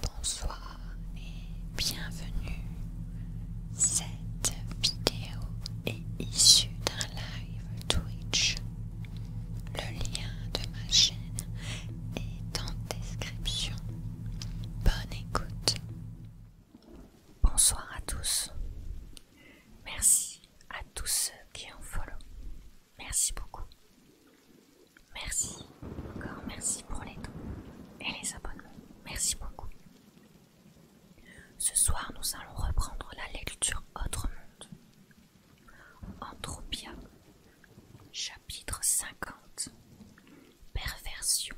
Bonsoir et bienvenue. Cette vidéo est issue d'un live Twitch. Le lien de ma chaîne est en description. Bonne écoute. Bonsoir à tous. Merci à tous ceux qui en follow. Merci beaucoup. Merci, encore merci pour les dons et les abonnements. Merci beaucoup. Ce soir, nous allons reprendre la lecture Autre Monde. Anthropia, chapitre 50 Perversion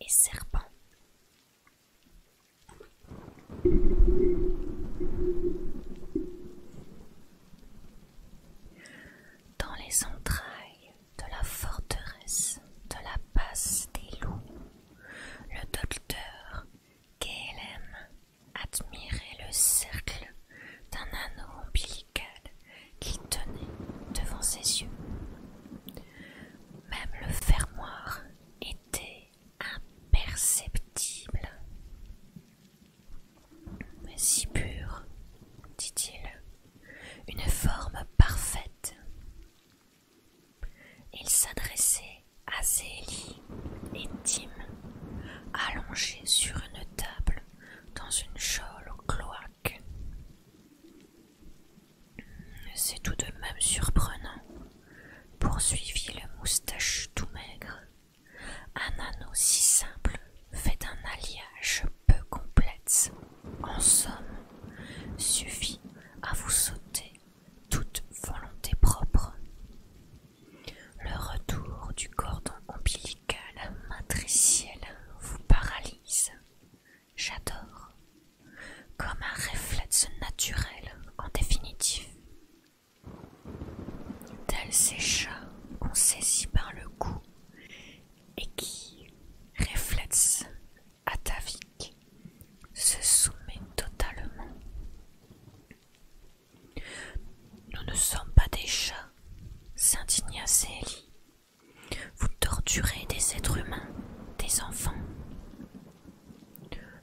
et serpent. Dans les entrailles de la forteresse de la passe des loups, le docteur K.L.M. admirait le cercle d'un anneau ombilical qui tenait devant ses yeux. Même le fermoir était imperceptible. Mais Si pur, dit-il, une forme parfaite. Il s'adressait à Zélie et Tim, allongés sur une table dans une jôle au cloaque. C'est tout de même surprenant, poursuivit le moustache tout maigre. Un anneau si simple fait un alliage peu complète, en somme, suffit à vous sauter toute volonté propre. Le retour du cordon ombilical matriciel vous paralyse. J'adore. Comme un réflexe naturel, en définitive. Tel ces chats qu'on saisit par le cou et qui, ta atavique, se soumet totalement. Nous ne sommes pas des chats, s'indigna Célie. Vous torturez des êtres humains, des enfants.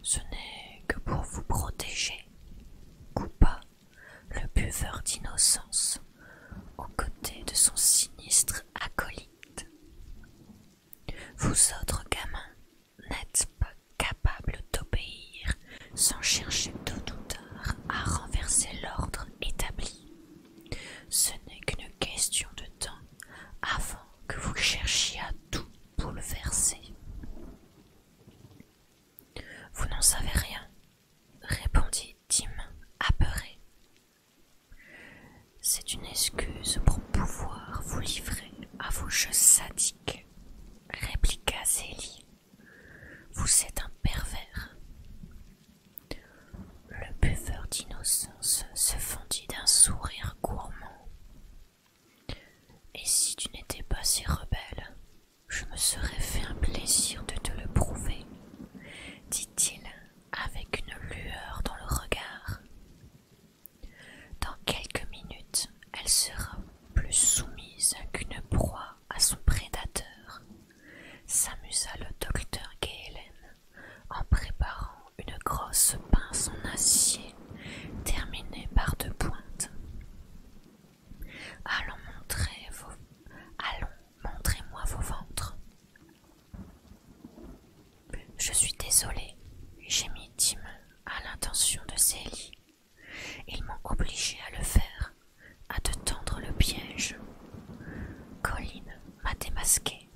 Ce n'est que pour vous protéger, pas le buveur d'innocence, aux côtés de son sinistre acolyte. Vous autres gamins n'êtes pas capables d'obéir sans chercher tôt ou tard à renverser l'ordre établi. Ce n'est qu'une question de temps avant que vous cherchiez à tout bouleverser. Vous n'en savez rien, répondit « Tim, apeurée. C'est une excuse pour pouvoir vous livrer à vos jeux sadiques, répliqua Zélie. Vous êtes un pervers. Le buveur d'innocence se fendit d'un sourire gourmand. Et si tu n'étais pas si rebelle, je me serais fait un plaisir de te le prouver, dit-il avec une lueur dans le regard. Dans quelques minutes, elle sera plus soumise qu'une proie à son prédateur, s'amusa le docteur Gaylène en préparant une grosse pince en acier terminée par deux pointes. Allons montrer vos... Allons, montrez-moi vos ventres. Je suis désolée, mis Tim à l'intention de Célie. Ils m'ont obligé à le faire, à te tendre le piège. Colline m'a démasqué.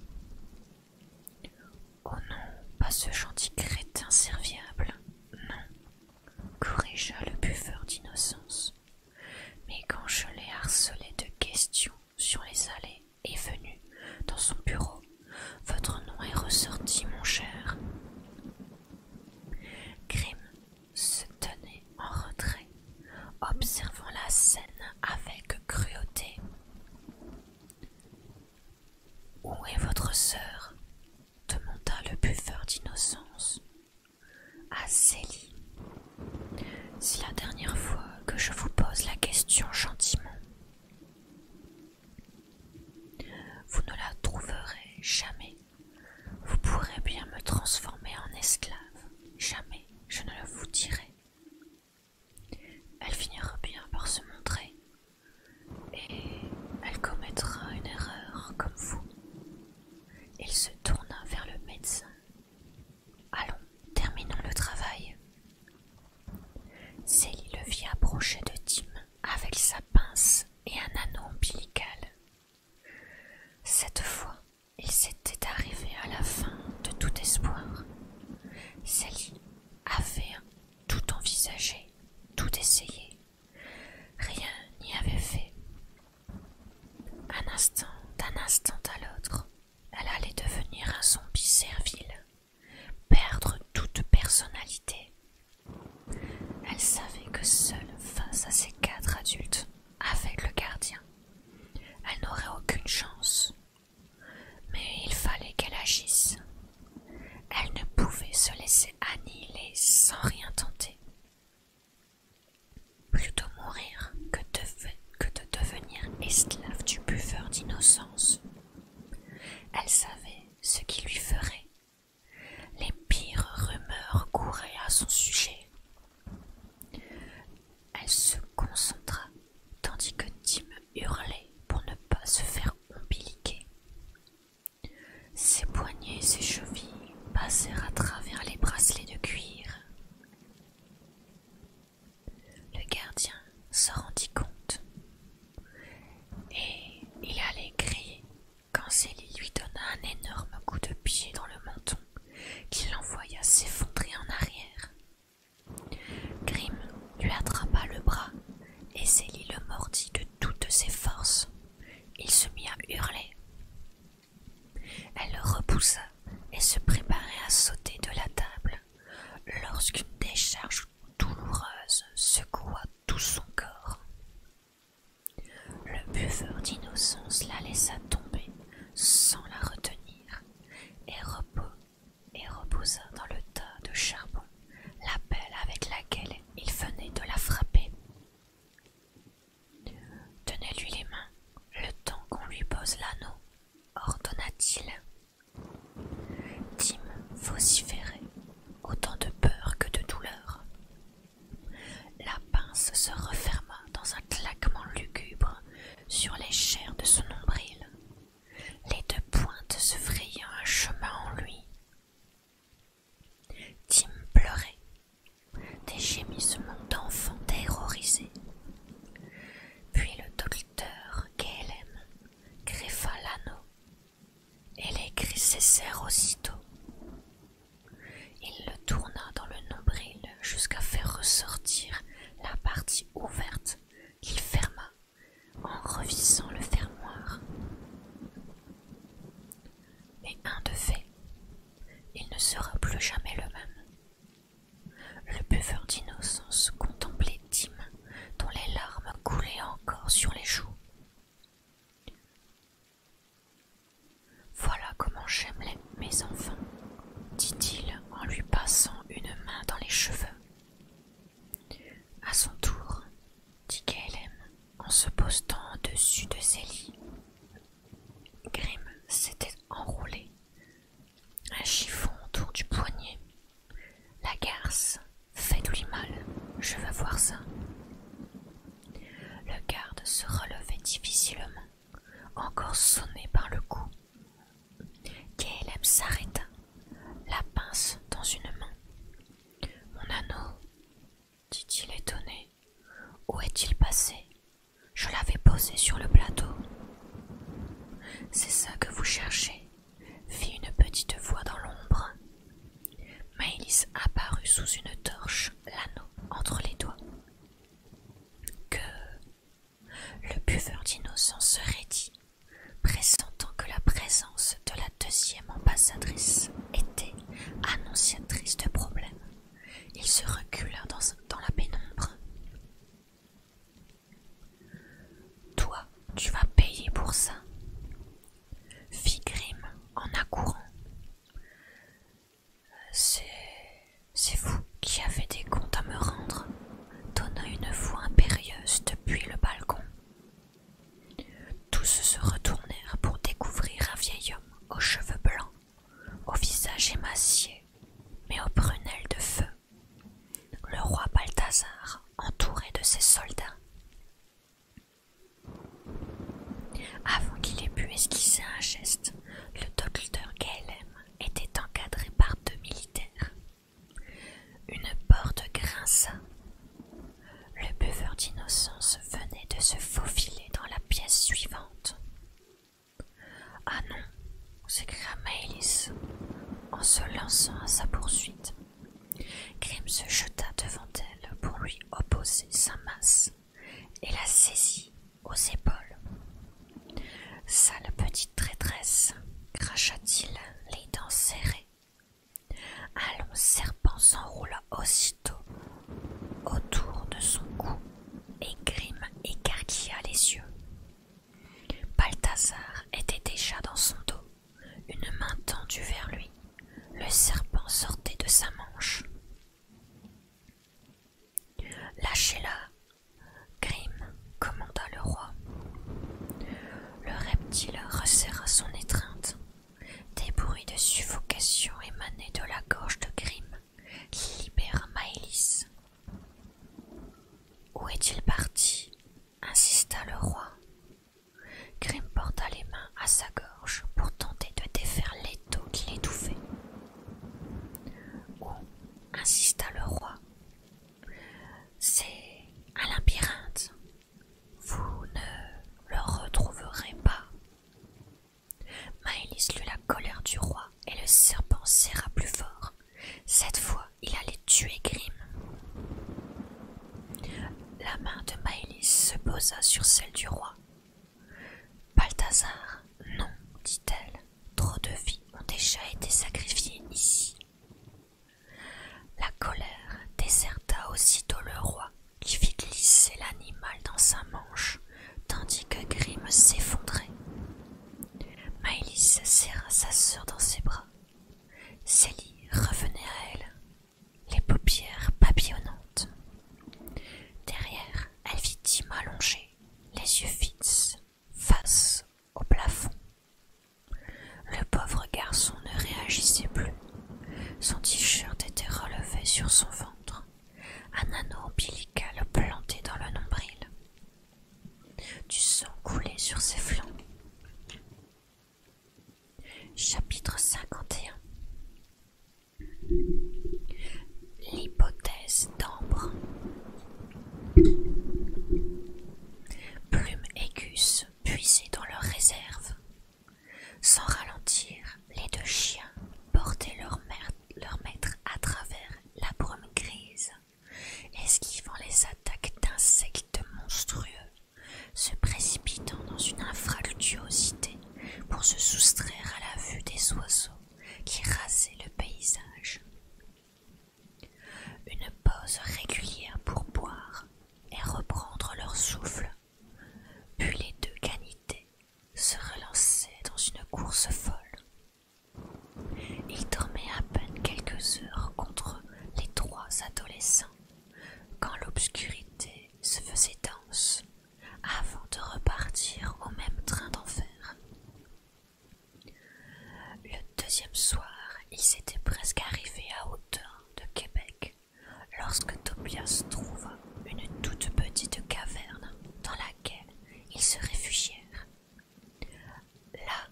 Oh non, pas ce gentil crétin serviable, non, corrigea le buveur d'innocence. Mais quand je l'ai harcelé de questions sur les allées et venues dans son bureau, votre nom est ressorti, mon cher. Grimm se tenait en retrait, observant la scène avec cruauté. Où est votre sœur demanda le buveur d'innocence à Célie. C'est la dernière fois que je vous pose la question gentiment. Vous ne la trouverez jamais. Vous pourrez bien me transformer en esclave. Jamais je ne le vous dirai. Elle finira bien par se montrer et elle commettra une erreur comme vous. Il se tourna vers le médecin. Allons, terminons le travail. Célie le vit approcher de Tim avec sa pince et un anneau ombilical. Cette fois, il s'était arrivé à la fin de tout espoir. Célie avait tout envisagé, tout essayé. Rien n'y avait fait. Un instant, d'un instant à l'autre, elle allait devenir un zombie servile, perdre toute personnalité. Elle savait que seule face à ces quatre adultes, avec le gardien, elle n'aurait aucune chance. Mais il fallait qu'elle agisse. Elle ne pouvait se laisser annihiler sans rien tenter. Plutôt mourir que de, devenir esclave du buveur d'innocence. Elle savait ce qui lui ferait. Les pires rumeurs couraient à son sujet. Elle se concentra tandis que Tim hurlait pour ne pas se faire ombiliquer. Ses poignets ses chevilles passèrent à travers les bracelets de cuir. Le gardien se rendit compte et il allait crier quand Célie lui donna un énorme coup de pied dans le menton qui l'envoya s'effondrer en arrière. Grim lui attrapa le bras et Célie le mordit de toutes ses forces. Il se mit à hurler. Elle le repoussa et se préparait à sauter de la table lorsqu'une décharge douloureuse secoua tout son corps. Le buveur d'innocence la laissa tomber sans la retenir et, repos, reposa dans le tas de charbon la pelle avec laquelle il venait de la frapper. Tenez-lui les mains, le temps qu'on lui pose l'anneau, ordonna-t-il. Tim vociférait, autant de peur que de douleur. La pince se referma dans un claquement lugubre sur les chairs de son nombril. Les deux pointes se frayant un chemin en lui. Tim pleurait, des gémissements d'enfants terrorisés. Puis le docteur K.L.M. greffa l'anneau et les cris cessèrent aussitôt. Il le tourna dans le nombril jusqu'à faire ressortir la partie ouverte qu'il ferma en revissant le fermoir. Et un de fait, il ne sera plus jamais le même. Le buveur d'innocence contemplait Tim, dont les larmes coulaient encore sur les joues. Voilà comment j'aime mes enfants, dit-il en lui passant une main dans les cheveux. À son tour, dit KLM en se postant au-dessus de ses lits Grimm s'était enroulé un chiffon autour du poignet. La garce, faites-lui mal, je veux voir ça. Le garde se relevait difficilement, encore sonné par le coup. Caleb s'arrêta, la pince dans une main. Mon anneau, dit-il étonné. Où est-il passé Je l'avais posé sur le plateau. C'est ça que vous cherchez fit une petite voix dans l'ombre. Maëlys apparut sous une torche, l'anneau entre les doigts. Que le buveur d'innocence se raidit, pressentant que la présence de la deuxième ambassadrice était annonciatrice de problème. Il se recula dans, la pénombre. Toi, tu vas payer pour ça, fit Grim en accourant. C'est vous qui avez des comptes à me rendre, donna une voix impérieuse depuis le balcon. Tous se retournèrent pour découvrir un vieil homme aux cheveux blancs au visage émacié, mais aux prunelles de feu, le roi Balthazar entouré de ses soldats. Avant qu'il ait pu esquisser un geste, le docteur Gaelem était encadré par deux militaires. Une porte grinça. Le buveur d'innocence venait de se faufiler dans la pièce suivante. Ah non s'écria Maëlys en se lançant à sa poursuite. Grim se jeta devant elle pour lui opposer sa masse et la saisit aux épaules. Sale petite traîtresse, cracha-t-il, les dents serrées. Un long serpent s'enroula aussitôt autour de son cou et Grimm écarquilla les yeux. Balthazar était déjà dans son dos, une main tendue vers lui. Le serpent sortait de sa manche. Lâchez-la, Grim commanda le roi. Le reptile resserra son étreinte des bruits de suffocation émanaient de la gorge de Grimm qui libère Maëlys. Où est-il parti insista le roi. Grimm porta les mains à sa gorge pour tenter de défaire l'étau qui l'étouffait. Où insista le roi. C'est un labyrinthe. Vous ne le retrouverez pas. Maëlys lut la colère du roi et le serpent serra plus fort. Cette fois, il allait tuer Grim. La main de Maëlys se posa sur celle du roi. Balthazar, non, dit-elle, trop de vies ont déjà été sacrifiées ici. La colère déserta aussitôt le roi qui fit glisser l'animal dans sa manche, tandis que Grimm s'effondrait. Maëlys serra sa sœur dans ses bras. Célie revenait à elle, les paupières papillonnantes. Derrière, elle vit Tim allongé, les yeux fixes, face au plafond. Le pauvre garçon ne réagissait plus. Son t-shirt était relevé sur son ventre un anneau ombilical planté dans le nombril. Du sang coulé sur ses flancs. Chapitre 51 L'hypothèse d'ambre. Plumes aigus puisées dans leur réserve. Sans ralentir, les deux chiens portaient leur, maître à travers la brume grise, esquivant les attaques d'insectes monstrueux, se précipitant dans une infractuosité pour se soustraire à la vue des oiseaux qui rasaient le paysage. Une pause régulière pour boire et reprendre leur souffle, puis les deux canités se relançait dans une course folle. Il dormait à peine quelques heures contre les trois adolescents quand l'obscurité se faisait dense avant de repartir au même train d'enfer. Le deuxième soir, ils étaient presque arrivés à hauteur de Québec lorsque Tobias trouva une toute petite caverne dans laquelle ils se réfugièrent. Là,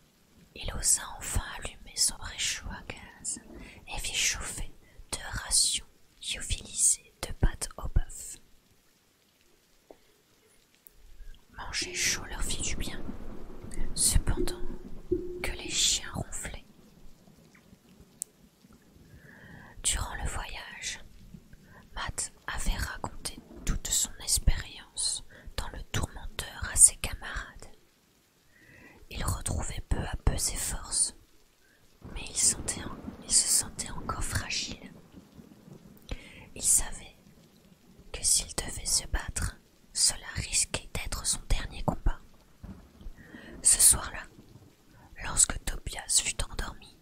il osa enfin allumer son réchaud à gaz et fit chauffer deux rations lyophilisées de pâte au bœuf. Manger chaud leur fit du bien, cependant que les chiens ronflaient. Durant le voyage, Matt avait raconté toute son expérience dans le tourmenteur à ses camarades. Il retrouvait peu à peu ses forces, mais il, se sentait encore fragile. Il savait que s'il devait se battre, cela risquait d'être son dernier combat. Ce soir-là, Lorsque Tobias fut endormi,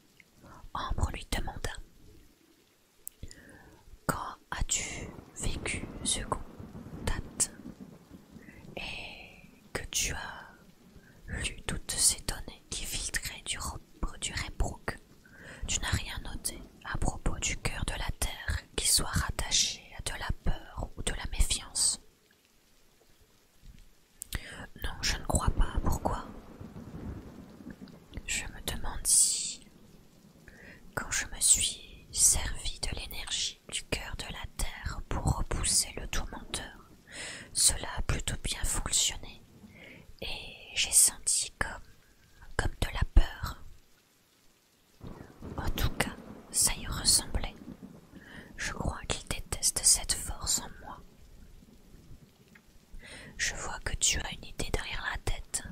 Ambre lui demanda Quand as-tu vécu ce date et que tu as lu toutes ces données qui filtraient du repos du Reybrook Tu n'as rien noté à propos du cœur de la terre qui soit rattaché à de la peur ou de la méfiance non, je ne crois pas. Pourquoi Je me demande si, quand je me suis servi de l'énergie du cœur de la terre pour repousser le tourmenteur, cela a plutôt bien fonctionné et j'ai senti comme, comme de la peur. En tout cas, ça y ressemblait. Je crois qu'il déteste cette force en moi. Je vois que tu as une idée derrière la tête.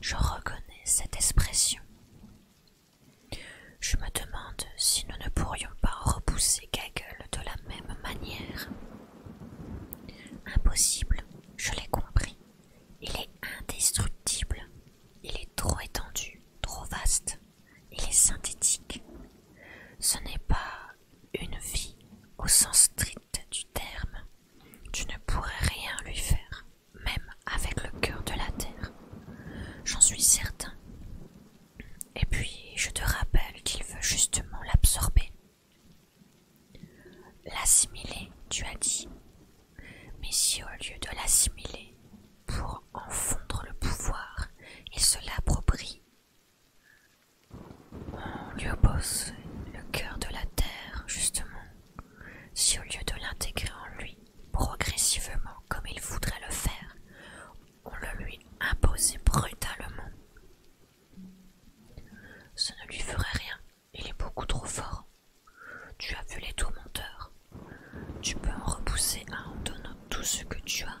Je reconnais cette expression. Je me demande si nous ne pourrions pas repousser Gaggle de la même manière. Impossible, je l'ai compris. Il est indestructible. Il est trop étendu, trop vaste il est synthétique. Ce n'est pas une vie au sens strict du terme. Tu ne pourrais rien lui faire, même avec le cœur de la terre. J'en suis certain. Et puis, je te rappelle qu'il veut justement l'absorber. L'assimiler, tu as dit. Mais si au lieu de l'assimiler, pour en le pouvoir, et se l'approprie. On lui oppose le cœur de la terre, justement, si au lieu de l'intégrer en lui progressivement comme il voudrait le faire, on le lui imposait brutalement. Ce ne lui ferait rien, il est beaucoup trop fort. Tu as vu les tourmenteurs. Tu peux en repousser un en donnant tout ce que tu as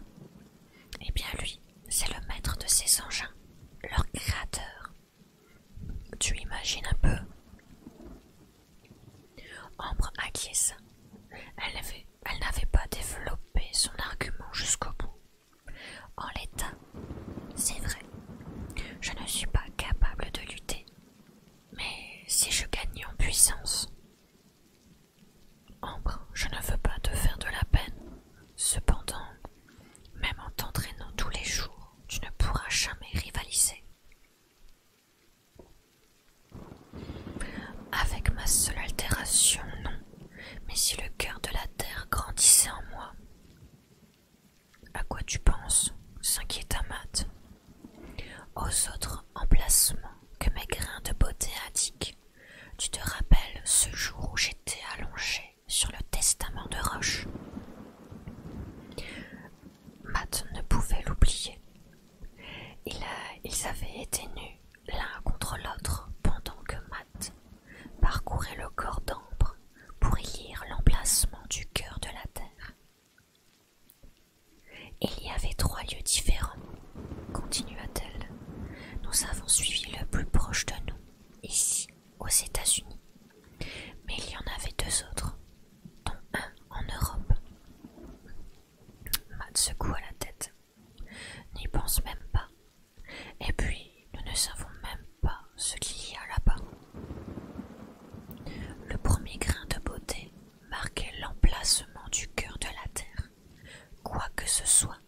eh bien lui, c'est le maître de ces engins, leur créateur. Tu imagines un peu Ambre acquiesça. Elle, n'avait pas développé son argument jusqu'au bout. En l'état, c'est vrai, je ne suis pas capable de lutter. Mais si je gagnais en puissance, Ambre, je ne veux pas te faire de la peine. Cependant, même en t'entraînant tous les jours, tu ne pourras jamais rivaliser. Avec ma seule altération, non, mais si le cœur de la terre grandissait en moi. À quoi tu penses s'inquiète Amate Aux autres emplacements que mes grains de beauté indiquent. Tu te rappelles ce jour où j'étais allongée sur le testament de Roche Matt ne pouvait l'oublier. ils avaient été nus l'un contre l'autre pendant que Matt parcourait le corps d'ambre pour y lire l'emplacement du cœur de la terre. Il y avait trois lieux différents, continua-t-elle. Nous avons suivi le plus proche de nous, ici, aux États-Unis. Mais il y en avait deux autres, dont un en Europe. Matt secoua la tête. N'y pense même pas. Et puis, nous ne savons même pas ce qu'il y a là-bas. Le premier grain de beauté marquait l'emplacement du cœur de la Terre. Quoi que ce soit,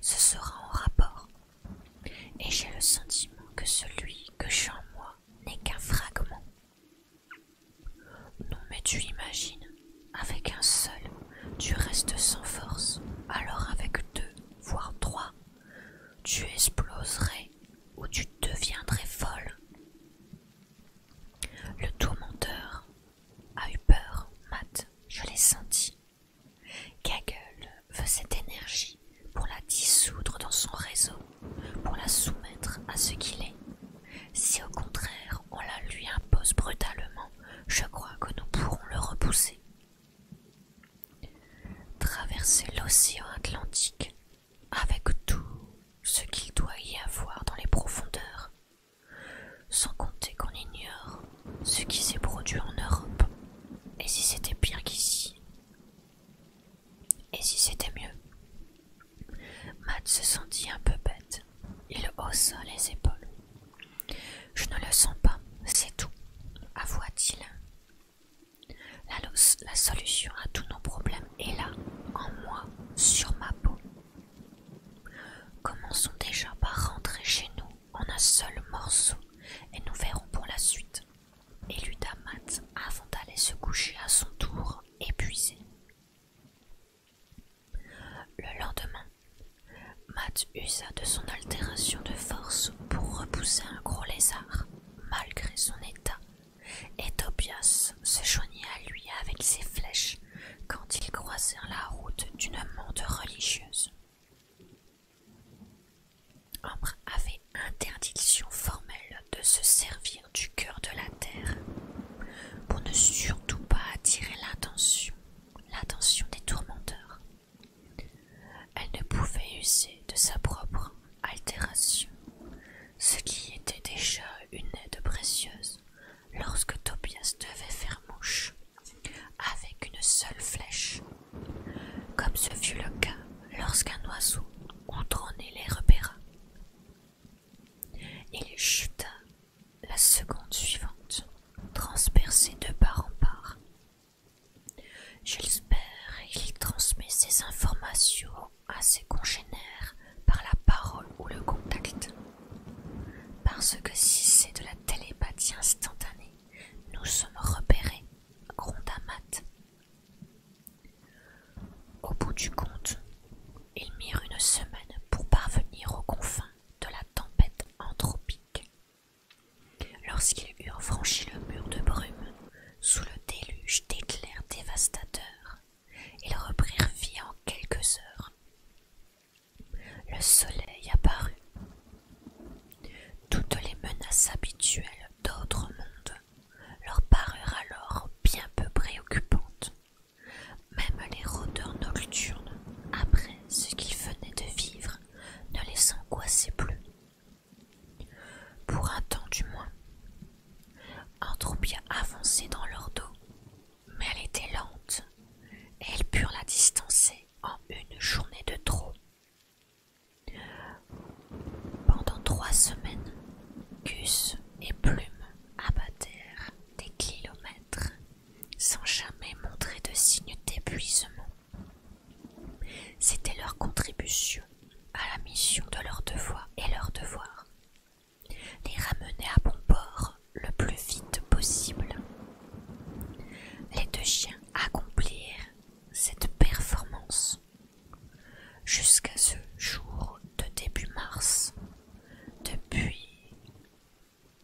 ce sera en rapport. Et j'ai le sentiment que celui que j'ai en moi n'est qu'un fragment. Non mais tu imagines, avec un seul, tu restes sans force, alors avec deux, voire trois, tu exploserais ou tu deviendrais folle. Le tourmenteur a eu peur, Matt, je l'ai senti. Gaggle veut cette énergie pour la dissoudre dans son réseau, pour la soumettre à ce qu'il est. Si au contraire on la lui impose brutalement, je crois que nous pourrons le repousser. Traverser l'océan Atlantique avec tout ce qu'il doit y avoir dans les profondeurs sans compter qu'on ignore ce qui s'est produit en Europe. Et si c'était pire qu'ici Et si c'était mieux Matt se sentit un peu bête. Il haussa les épaules. Je ne le sens pas, c'est tout, avoua-t-il. La, la solution à tous nos problèmes est là, en moi, sur ma peau. Commençons déjà par rentrer chez nous en un seul morceau et nous verrons pour la suite. Éluda Matt avant d'aller se coucher à son tour, épuisé. Le lendemain, Matt usa de son altération de force pour repousser un gros lézard, malgré son état, et Tobias se joignit à lui avec ses flèches quand ils croisèrent la route d'une monde religieuse. Ambre avait interdiction formelle de se servir du cœur de la terre pour ne surtout pas attirer l'attention des tourmenteurs. Elle ne pouvait user de sa propre altération, ce qui était déjà une aide précieuse lorsque Tobias devait faire mouche avec une seule flèche, comme ce fut le cas lorsqu'un oiseau contrôlé les repéra. Il chuta la seconde suivante, transpercé de part en part. Jespère il transmet ses informations à ses congénères par la parole ou le contact. Parce que si c'est de la télépathie instantanée, nous sommes repérés, gronda Matt. Au bout du compte, ils mirent une semaine pour parvenir aux confins de la tempête anthropique. Lorsqu'ils eurent franchi le mur de brume, sous le déluge d'éclairs dévastateurs, ils reprirent vie en quelques heures. Le soleil apparut. Toutes les menaces habituelles d'autres mondes leur parurent alors bien peu préoccupantes. Même les rôdeurs nocturnes, après ce qu'ils venaient de vivre, ne les angoissaient plus. Pour un temps du moins. Un bien avancé dans leur dos, mais elle était lente, et elles purent la distancer en une journée de trop. Pendant trois semaines, Gus et Plume abattèrent des kilomètres sans jamais montrer de signe d'épuisement. C'était leur contribution à la mission de leur devoir et leur devoir les ramener à bon port le plus vite possible. Les deux chiens accomplirent cette performance jusqu'à ce jour de début mars, depuis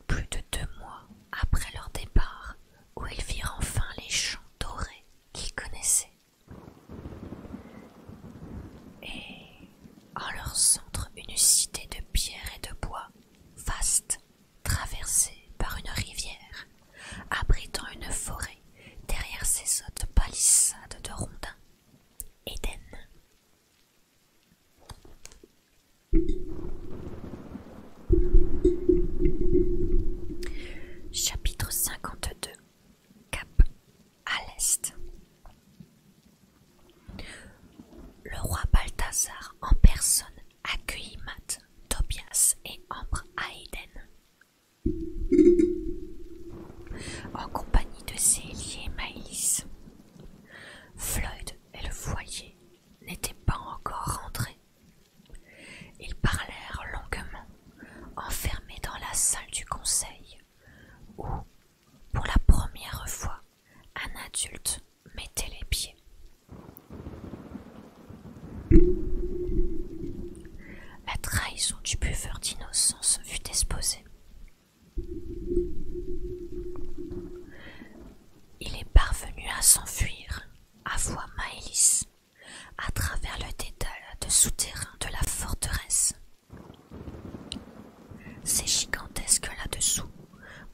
plus de deux mois après leur départ, où ils virent enfin les champs dorés qu'ils connaissaient. Et en leur centre, une cité de pierre et de bois, vaste, traversée par une rivière, abritant une forêt derrière ses hautes palissades de rondins. Éden. Chapitre 52 Cap à l'est. Le roi Balthazar en personne accueillit Matt, Tobias et Ambre à Eden, en compagnie de Célie et Maïs Floyd et le foyer n'étaient pas encore rentrés. Ils parlèrent longuement, enfermés dans la salle du conseil, où, pour la première fois, un adulte mettait les pieds. La trahison du buveur d'innocence fut exposée. Il est parvenu à s'enfuir à voix Maëlys à travers le dédale de souterrain de la forteresse. C'est gigantesque là-dessous.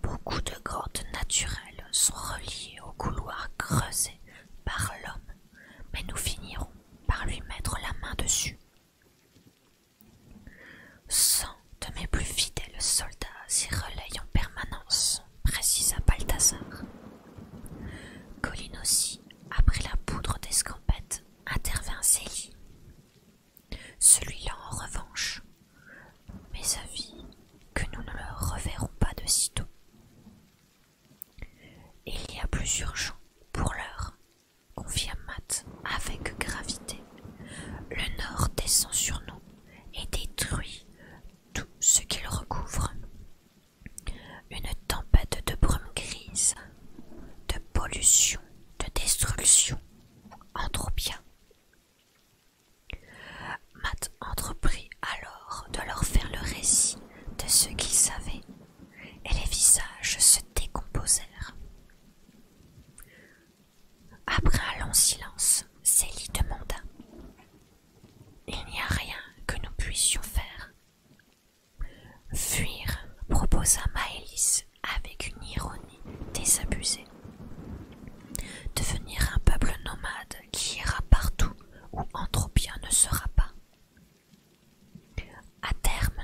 Beaucoup de grottes naturelles sont reliées au couloir creusé par l'homme, mais nous finirons par lui mettre la main dessus. Cent de mes plus fidèles soldats s'y relayent en permanence, précisa Balthazar. Colline aussi, après la poudre d'escampette, intervint Célie. Celui-là, en revanche, mes avis que nous ne le reverrons pas de sitôt. Il y a plusieurs urgent pour l'heure, confirme Matt avec gravité. Le Nord descend sur nous et détruit tout ce qu'il recouvre. Une tempête de brume grise, de pollution, de destruction bien. Matt entreprit alors de leur faire le récit de ce qu'ils savaient, et les visages se décomposèrent. Après un long silence, Célie demanda Il n'y a rien que nous puissions faire. Fuir, proposa Maëlys avec une ironie désabusée. Devenir un peuple nomade qui ira partout où Anthropia ne sera pas. À terme,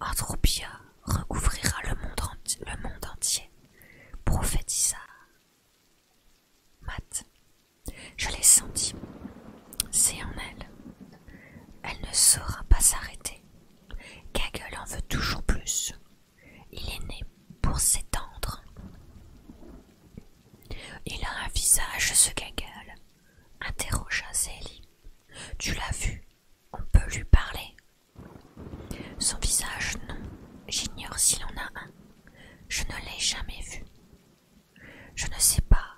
Anthropia recouvrira le monde, le monde entier, prophétisa Matt. Je l'ai senti. C'est en elle. Elle ne saura pas s'arrêter. Gaggle en veut toujours plus. Il est né pour s'étendre. Il a un visage, ce Gaggle, interrogea Zélie. Tu l'as vu, on peut lui parler. Son visage, non, j'ignore s'il en a un. Je ne l'ai jamais vu. Je ne sais pas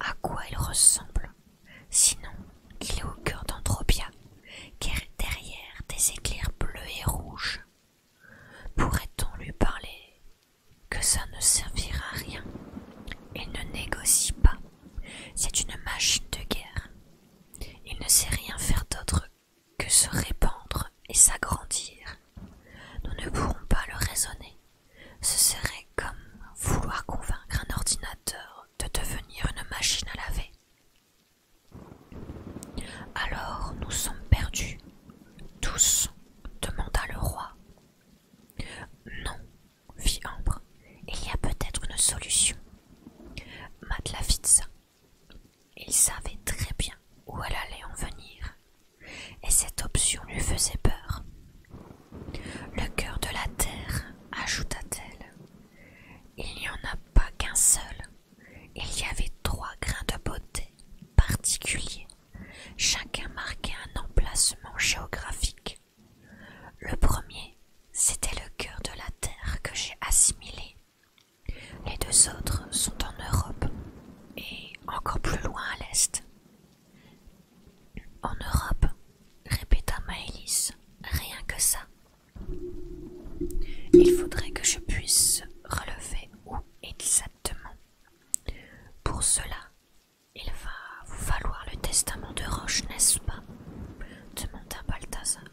à quoi il ressemble. Sinon, qu'il est au cœur d'Andropia, derrière des éclairs bleus et rouges. Pourrait-on lui parler que ça ne servira à rien Il ne négocie pas. C'est une machine de guerre. Il ne sait rien faire d'autre que se répandre et s'agrandir. Nous ne pourrons pas le raisonner. Ce serait comme vouloir convaincre un ordinateur de devenir une machine à laver. Alors nous sommes perdus, tous, demanda le roi. Non, fit Ambre, il y a peut-être une solution. Matt Il savait très bien où elle allait en venir, et cette option lui faisait peur. Le cœur de la terre, ajouta-t-elle. Il n'y en a pas qu'un seul. Il y avait trois grains de beauté particuliers. Chacun marquait un emplacement géographique. Le premier, c'était le cœur de la terre que j'ai assimilé. Les deux autres sont en Europe et encore plus loin à l'est. En Europe, répéta Maëlys, rien que ça. Il faudrait que je puisse relever où exactement. Pour cela, il va vous falloir le testament de Roche, n'est-ce pas demanda Balthazar.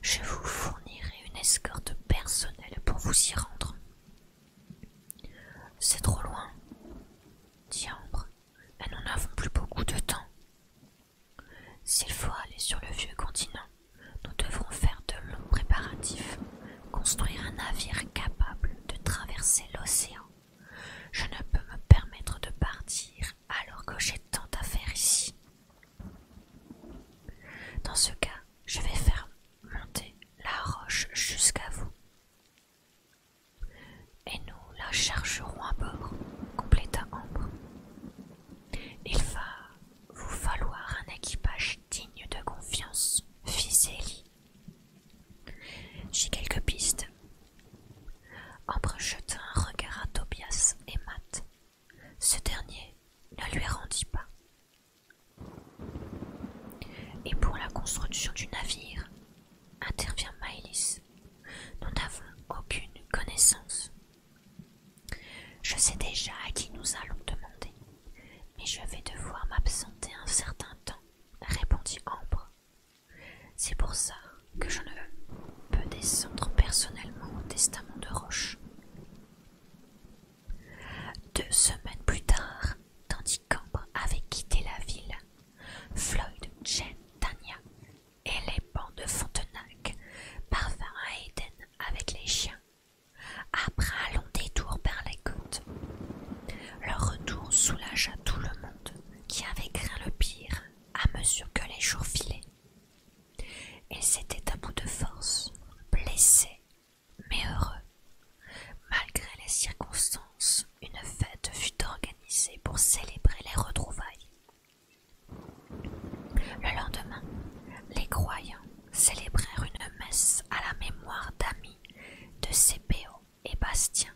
Je vous fournirai une escorte personnelle pour vous y rendre. C'est trop loin, dit Ambre. Mais nous n'avons plus beaucoup de temps. S'il faut aller sur le vieux continent, nous devrons faire de longs préparatifs, construire un navire capable de traverser l'océan. Je ne peux me permettre de partir alors que j'ai tant à faire ici. Dans ce cas, je vais faire monter la roche jusqu'à vous. Et nous la chargerons à bord, compléta Ambre. Il va vous falloir un équipage digne de confiance, fit Zélie. J'ai quelques pistes. Ambre jeta un regard à Tobias et Matt. Ce dernier ne lui rendit pas. Et pour la construction du navire, intervient Maëlys. Nous n'avons aucune connaissance. Je sais déjà à qui nous allons demander, mais je vais devoir m'absenter un certain temps, répondit Ambre. C'est pour ça que je ne peux descendre personnellement au testament de Roche. Deux semaines plus tard, tandis qu'Ambre avait quitté la ville, Floyd, Jen, Tania et les bancs de Fontenac parvinrent à Éden avec les chiens, après un long détour par les côtes. Leur retour soulagea tout le monde qui avait craint le pire à mesure que les jours filaient. Ils étaient à bout de force, blessé, mais heureux, malgré les circonstances une fête fut organisée pour célébrer les retrouvailles. Le lendemain, les croyants célébrèrent une messe à la mémoire d'amis de C.P.O. et Bastien,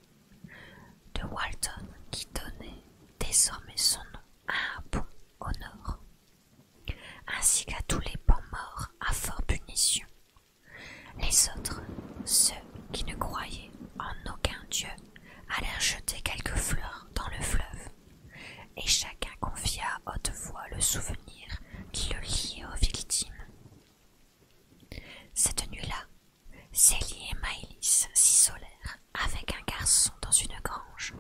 de Walton qui donnait désormais son nom à un pont au nord, ainsi qu'à tous les bons morts à fort punition. Les autres, ceux qui ne croyaient en aucun dieu, allèrent jeter quelques fleurs dans le fleuve, et chacun confia à haute voix le souvenir qui le liait aux victimes. Cette nuit-là, Célie et Maëlys s'isolèrent avec un garçon dans une grange.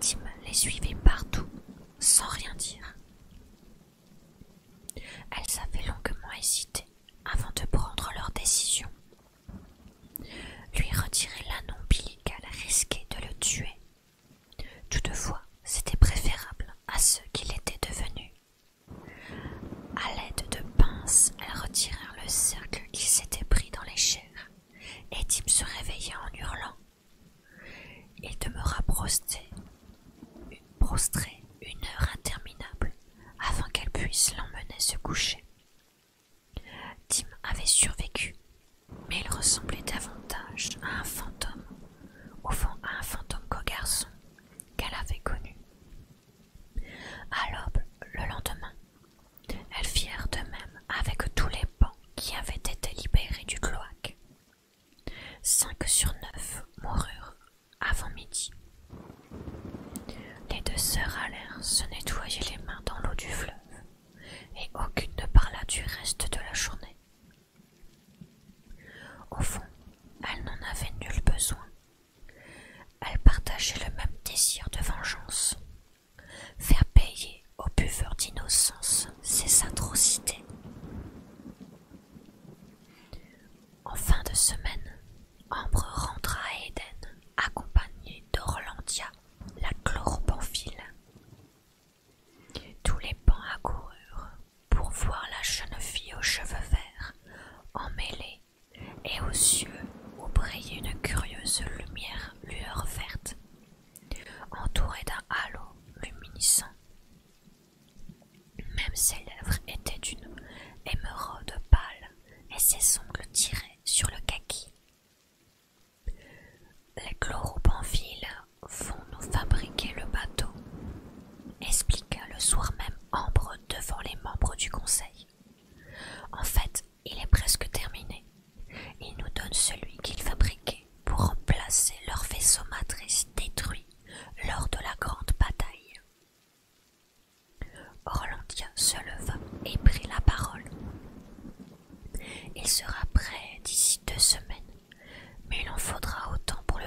Tim les suivait partout, sans rien dire. Elles avaient longuement hésité avant de prendre leur décision lui retirer l'anneau ombilical risquait de le tuer. Toutefois, c'était préférable à ce qu'il était devenu. À l'aide de pinces, elles retirèrent le cercle qui s'était pris dans les chairs, et Tim se réveilla en hurlant. Il demeura prostré une heure interminable, avant qu'elle puisse l'emmener se coucher. Tim avait survécu, mais il ressemblait davantage à un fantôme, au fond à un fantôme qu'au garçon qu'elle avait connu. À l'aube, le lendemain, elles firent de même avec tous les bancs qui avaient été libérés du cloaque. Cinq sur neuf moururent avant midi. Les deux sœurs allèrent se nettoyer les mains dans l'eau du fleuve, et aucune ne parla du reste de la journée. Au fond, elles n'en avaient nul besoin. Elles partageaient le même désir de vengeance. Faire payer aux buveurs d'innocence ces atrocités. En fin de semaine, Ambre rentra à Eden, accompagnée d'Orlandia, la chloropanphile. Tous les pans accoururent pour voir la jeune fille aux cheveux verts, emmêlée, et aux cieux où brillait une curieuse lumière lueur verte, entourée d'un halo luminescent. Même ses lèvres étaient d'une émeraude pâle et ses ongles tiraient sur le kaki. Les chloropanfiles vont nous fabriquer le bateau, expliqua le soir même Ambre devant les membres du conseil. En fait, il est presque terminé. Ils nous donnent celui qu'ils fabriquaient pour remplacer leur vaisseau matrice détruit lors de la grande bataille. Orlandia se leva et prit la parole. Il sera prêt d'ici deux semaines, mais il en faudra autant pour le,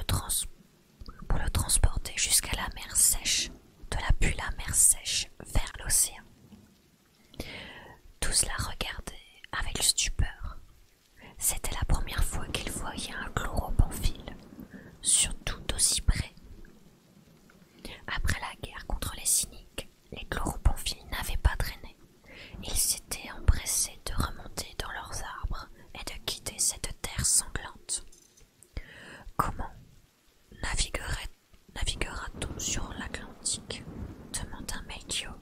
transporter jusqu'à la mer sèche, de la pulle la mer sèche vers l'océan. Tous la regardaient avec stupeur. C'était la première fois qu'ils voyaient un chloropamphile, surtout aussi près, après la guerre contre les cyniques, les chloropompiles n'avaient pas traîné. Ils s'étaient empressés de remonter dans leurs arbres et de quitter cette terre sanglante. Comment naviguera-t-on sur l'Atlantique demanda Melchior.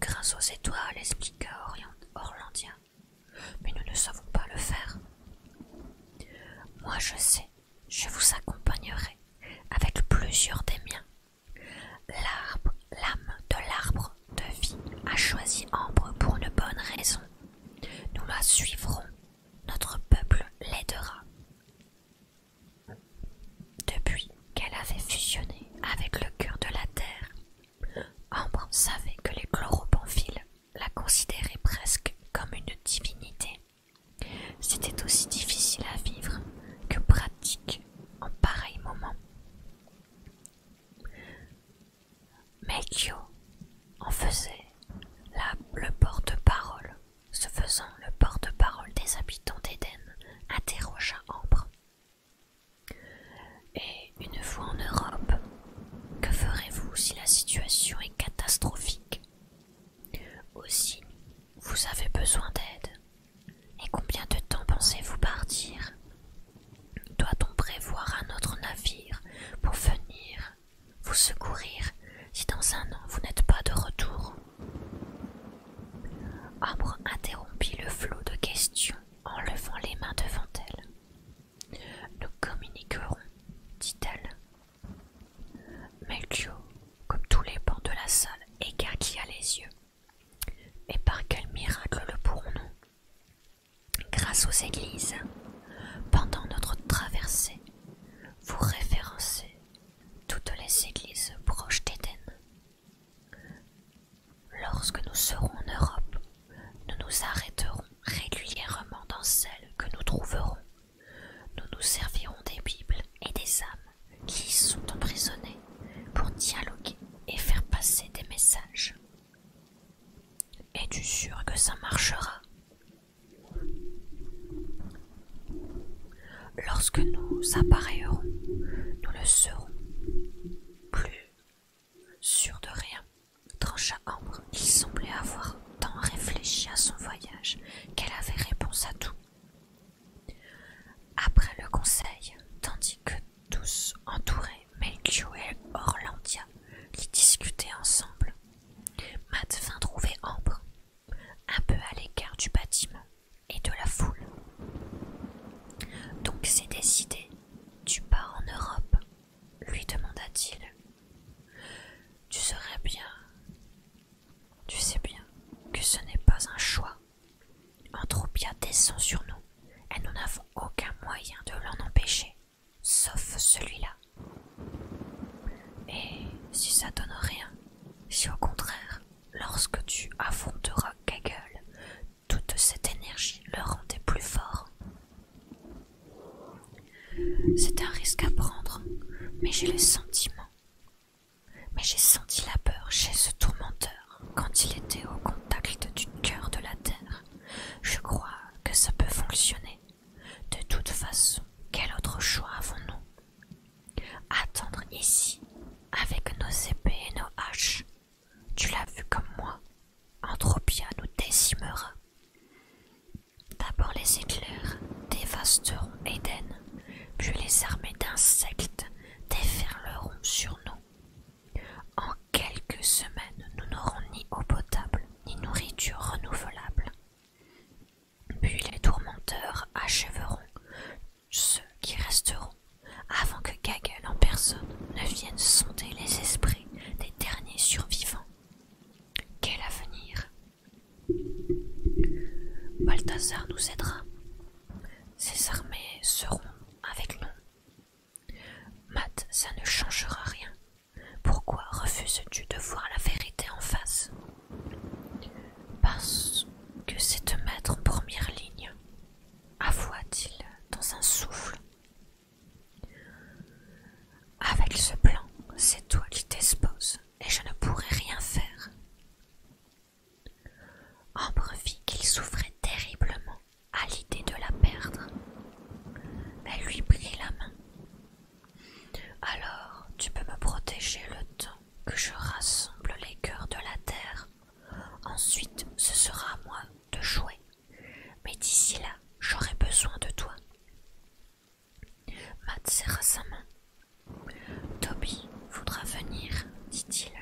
Grâce aux étoiles, expliqua Orlandia mais nous ne savons pas le faire. Moi je sais, je vous accompagnerai avec plusieurs des miens. L'arbre, l'âme de l'arbre de vie a choisi Ambre pour une bonne raison. Nous la suivrons, notre peuple l'aidera. Depuis qu'elle avait fusionné avec le cœur de la terre, Ambre savait que les chloropamphiles la considérait presque comme une divinité. C'était aussi difficile à vivre que pratique en pareil moment. Meikyo en faisait le porte-parole, se faisant le porte-parole des habitants d'Éden, interrogea Ambre. Et une fois en Europe, que ferez-vous si la situation est catastrophique Aussi, vous avez besoin d'aide. Et combien de temps pensez-vous partir Doit-on prévoir un autre navire pour venir vous secourir si dans un an vous n'êtes pas de retour Harbre interrompit le flot de questions en levant les mains devant elle. Nous communiquerons, dit-elle. Mais Dieu, comme tous les bancs de la salle, a les yeux. Et par quel miracle le pourrons-nous Grâce aux églises. Pendant notre traversée, vous référencez toutes les églises proches d'Éden. Lorsque nous serons en Europe, nous nous arrêterons régulièrement dans celles que nous trouverons. Nous nous servirons des Bibles et des âmes qui sont emprisonnées pour dialoguer et faire passer des messages. Es-tu sûr que ça marchera Lorsque nous appareillerons, nous ne serons plus sûrs de rien. Trancha Ambre, il semblait avoir tant réfléchi à son voyage qu'elle avait réponse à tout. Après le conseil, tandis que tous entourés Melchior et Orlandia, qui discutaient ensemble, Matt vint trouver Ambre, un peu à l'écart du bâtiment et de la foule. Donc c'est décidé, tu pars en Europe, lui demanda-t-il. Tu saurais bien. Tu sais bien que ce n'est pas un choix. Un bien descend sur nous et nous n'avons aucun moyen de l'en empêcher, sauf celui-là. Et si ça donne rien, si au contraire, lorsque tu affronteras Kaggle, toute cette énergie le rendait plus fort, c'est un risque à prendre, mais j'ai le sentiment. Mais j'ai senti la peur chez ce tourmenteur quand il était au contact du cœur de la terre. Je crois que ça peut fonctionner. De toute façon, quel autre choix avons-nous Attendre ici, avec nos épées et nos haches. Tu l'as vu comme moi, Anthropia nous décimera. D'abord les éclairs dévasteront Éden, puis les armées d'insectes déferleront sur nous. En quelques semaines, nous n'aurons ni eau potable, ni nourriture renouvelable. Puis les tourmenteurs achèveront ceux qui resteront, avant que Gagel en personne ne vienne sonder les esprits des derniers survivants. Quel avenir Balthazar nous aidera. Ses armées seront avec nous. Matt, ça ne changera rien. Pourquoi refuses-tu de voir la vérité en face Parce que c'est te mettre en première ligne, avoua-t-il dans un souffle. Avec ce plan, c'est toi qui t'exposes et je ne pourrai rien faire. Ambre vit qu'il souffrait terriblement à l'idée de la perdre. Elle lui prit la main. Alors, tu peux me protéger le temps que je rassemble les cœurs de la terre. Ensuite, ce sera à moi de jouer mais d'ici là, j'aurai besoin de toi. Matt serra sa main. Toby voudra venir, dit-il.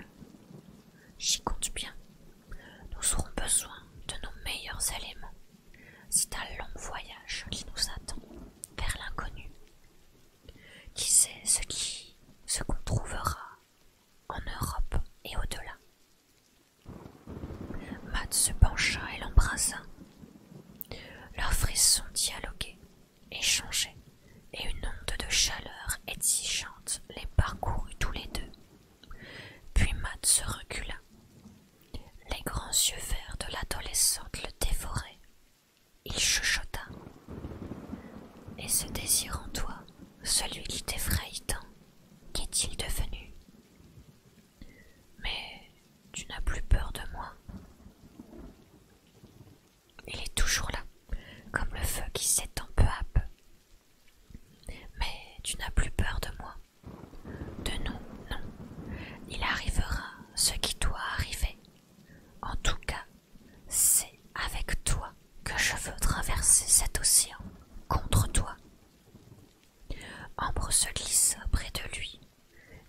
J'y compte bien. Nous aurons besoin de nos meilleurs éléments. C'est un long voyage qui nous attend vers l'inconnu. Qui sait ce qui, ce qu'on trouvera en Europe et au-delà. Matt se pencha et l'embrassa. Leurs frissons dialoguaient, échangeaient, et une onde de chaleur exigeante les parcourut tous les deux. Puis Matt se recula. Les grands yeux verts de l'adolescente le dévoraient. Il chuchota. Et ce désir en toi, celui qui t'effraye tant, qu'est-il devenu mais tu n'as plus peur de moi. Il est toujours là, comme le feu qui s'étend peu à peu. Mais tu n'as plus peur de moi. De nous, non. Il arrivera ce qui doit arriver. En tout cas, c'est avec toi que je veux traverser cet océan, contre toi. Ambre se glissa près de lui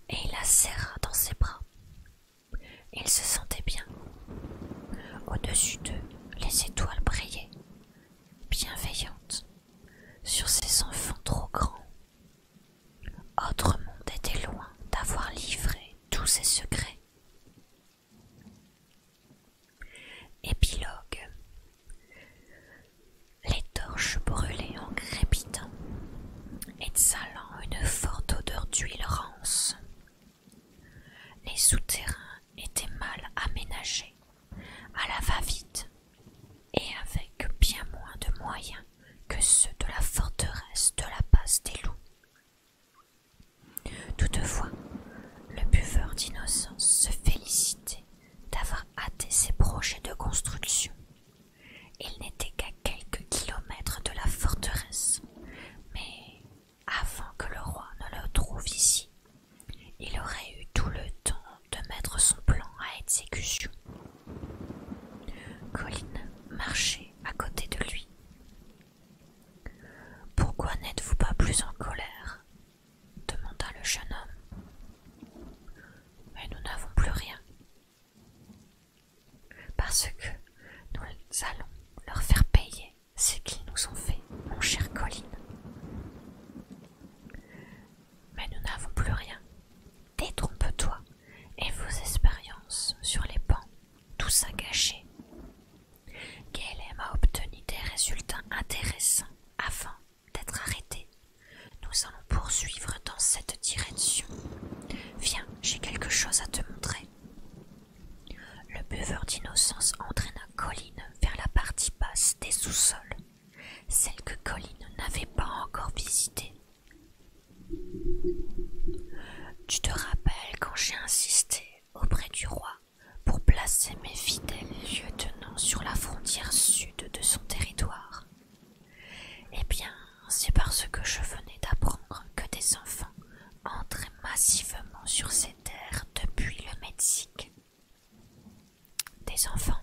et il la serra dans ses bras. Il se sentait bien. Au-dessus d'eux, les étoiles brillaient, bienveillantes, sur ces enfants trop grands. Autre monde était loin d'avoir livré tous ses secrets. Épilogue Les torches brûlaient en crépitant, exhalant une forte odeur d'huile rance. Les souterrains étaient mal aménagés, à la va-vite, et avec bien moins de moyens que ceux de la forteresse de la passe des loups. Toutefois, le buveur d'innocence se félicitait d'avoir hâté ses projets de construction. Il n'était qu'à quelques kilomètres de la forteresse, mais avant que le roi ne le trouve ici, il aurait eu tout le temps de mettre son plan à exécution. Colline marchait à côté de lui. Pourquoi n'êtes-vous pas plus en colère demanda le jeune homme. Mais nous n'avons plus rien. Parce que nous allons leur faire payer ce qu'ils nous ont fait, mon cher Colline. Mais nous n'avons plus rien. Détrompe-toi, et vos expériences sur les bancs, tout ça gâché. a obtenu des résultats intéressants avant d'être arrêté Nous allons poursuivre dans cette direction. Viens, j'ai quelque chose à te montrer. Le buveur d'innocence entraîna Colline vers la partie basse des sous-sols, celle que Colline n'avait pas encore visitée. Tu te rappelles quand j'ai insisté auprès du roi pour placer mes fidèles lieutenants sur la frontière sud de son territoire. Eh bien, c'est parce que je venais d'apprendre que des enfants entraient massivement sur ces terres depuis le Mexique. Des enfants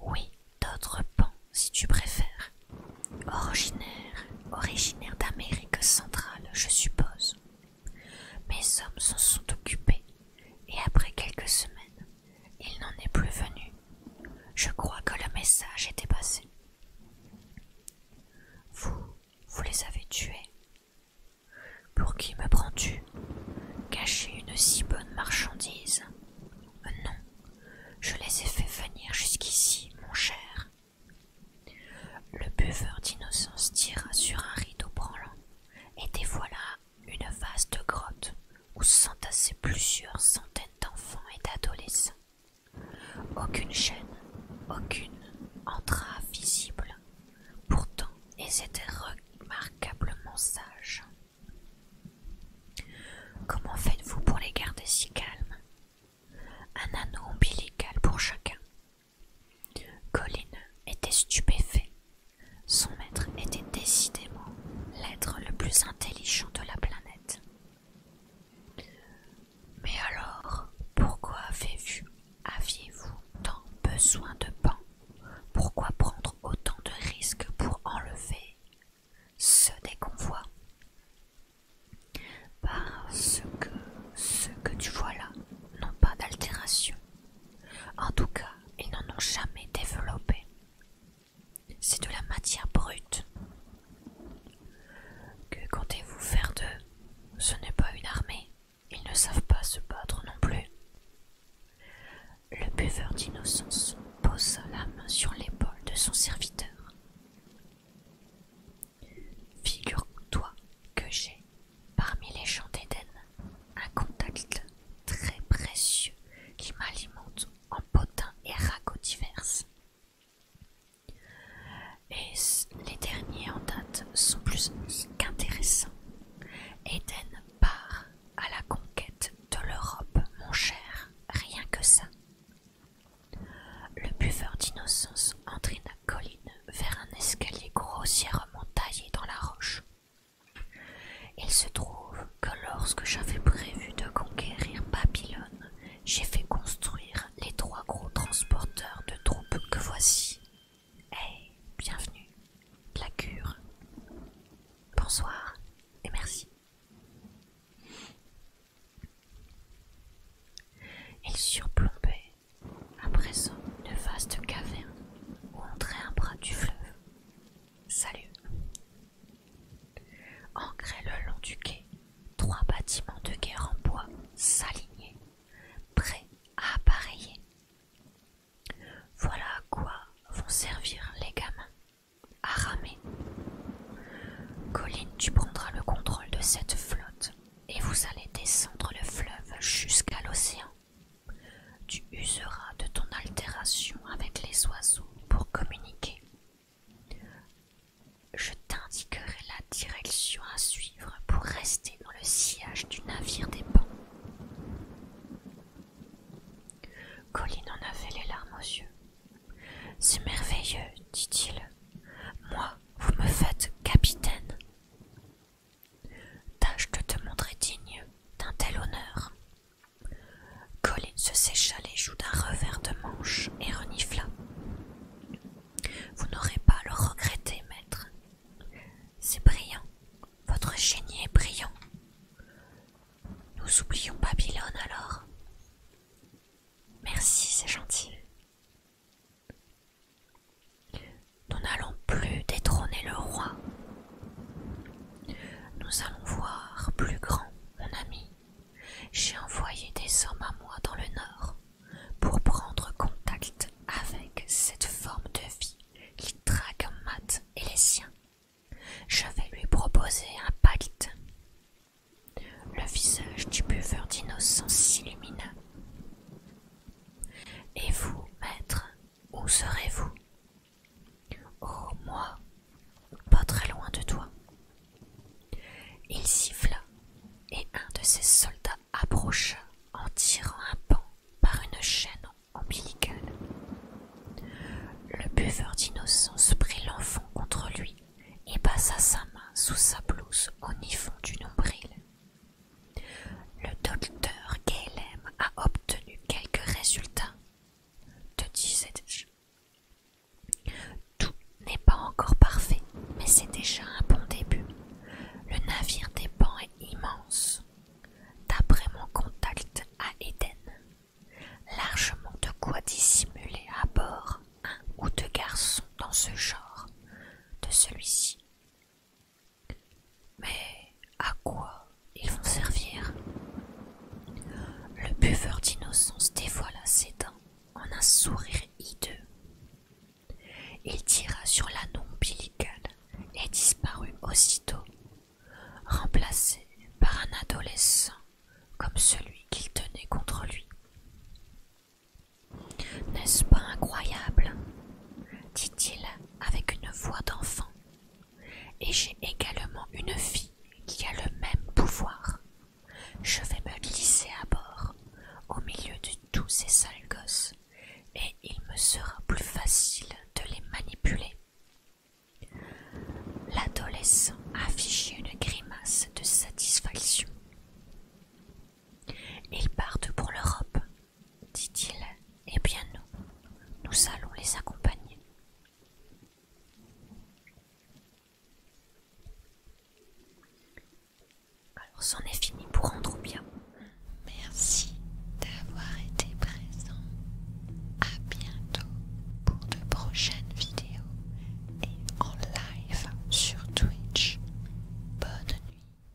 Oui, d'autres pans, si tu préfères. Originaires, originaires d'Amérique centrale, je suppose. Mes hommes s'en sont occupés, et après quelques semaines, il n'en est plus venu. Je crois que le message était passé. Vous, vous les avez tués. Pour qui me prends-tu Cacher une si bonne marchandise euh, Non, je les ai fait venir jusqu'ici, mon cher. Le buveur d'innocence tira sur un rideau branlant et voilà une vaste grotte où s'entassaient plusieurs centaines d'enfants et d'adolescents. Aucune chaîne, aucune entrave visible. Pourtant, ils étaient remarquablement sages. Comment faites-vous pour les garder si calmes Un anneau ombilical pour chacun, Colline était stupéfait. Son maître était décidément l'être le plus intelligent de la planète. Mais alors, pourquoi avez-vous aviez -vous tant besoin de pain Pourquoi prendre autant de risques pour enlever ceux des convois Parce que ceux que tu vois là n'ont pas d'altération en tout cas, ils n'en ont jamais développé. C'est de la matière brute. Que comptez-vous faire d'eux Ce n'est pas une armée. Ils ne savent pas se battre non plus. Le buveur d'innocence pose la main sur l'épaule de son serviteur. Figure-toi que j'ai Parmi les gens d'Éden, un contact très précieux qui m'alimente en potins et ragots diverses. Et les derniers en date sont plus qu'intéressants. Éden part à la conquête de l'Europe, mon cher, rien que ça. Le buveur d'innocence entraîne colline vers un escalier grossièrement taillé dans la roche, il se trouve que lorsque j'avais prévu de conquérir Babylone, j'ai fait construire les trois gros transporteurs de troupes que voici. Eh, bienvenue, la cure. Bonsoir et merci. Il à présent, une vaste caverne où entrait un bras du fleuve. Salut. Ancrés le long du quai, trois bâtiments de guerre en bois s'alignaient, prêts à appareiller. Voilà à quoi vont servir les gamins. À ramer. Colline, tu prendras le contrôle de cette flotte et vous allez descendre le fleuve jusqu'à l'océan. Tu useras de ton altération avec les oiseaux pour communiquer. Je t'indiquerai la direction à suivre pour rester dans le sillage du navire des pans. Colline en avait les larmes aux yeux. C'est merveilleux, dit-il. Moi, vous me faites capitaine. Tâche de te montrer digne d'un tel honneur. Colin se sécha les joues d'un revers de manche et renifla. Vous n'aurez pas à le regretter, maître. C'est brillant. Votre génie est brillant. Nous oublions Babylone alors. Merci, c'est gentil. Nous n'allons plus détrôner le roi. Nous allons voir plus grand, mon ami. J'ai envoyé des hommes à moi dans le nord pour prendre contact avec cette forme de vie qui traque Mat et les siens. Je vais lui proposer un pacte. Le visage du buveur d'innocence s'illumina. Et vous, maître, où serez-vous Oh, moi, pas très loin de toi. Il siffla, et un de ses soldats approcha en tirant un pan par une chaîne ombilicale. Le buveur d'innocence prit l'enfant contre lui et passa sa main sous sa blouse au nifon du nombril. Le docteur Gaylem a obtenu quelques résultats, te disais-je. Tout n'est pas encore parfait, mais c'est déjà un bon début. Le navire des pans est immense. D'après mon contact à Éden, largement de quoi dissimuler à bord un ou deux garçons dans ce genre de celui-ci. Mais à quoi ils vont servir Le buveur d'innocence dévoila ses dents en un sourire hideux. Il tira sur l'anneau ombilical et disparut aussitôt, remplacé par un adolescent comme celui qu'il tenait contre lui. N'est-ce pas incroyable dit-il avec une voix d'enfant, et j'ai également une fille qui a le même pouvoir. Je vais me glisser à bord, au milieu de tous ces sales gosses, et il me sera plus facile de les manipuler. L'adolescent affichait une grimace de satisfaction. Ils partent pour l'Europe, dit-il, et eh bien nous, nous allons les accompagner. Alors c'en est fini pour rendre bien. Merci d'avoir été présent. À bientôt pour de prochaines vidéos et en live sur Twitch. Bonne nuit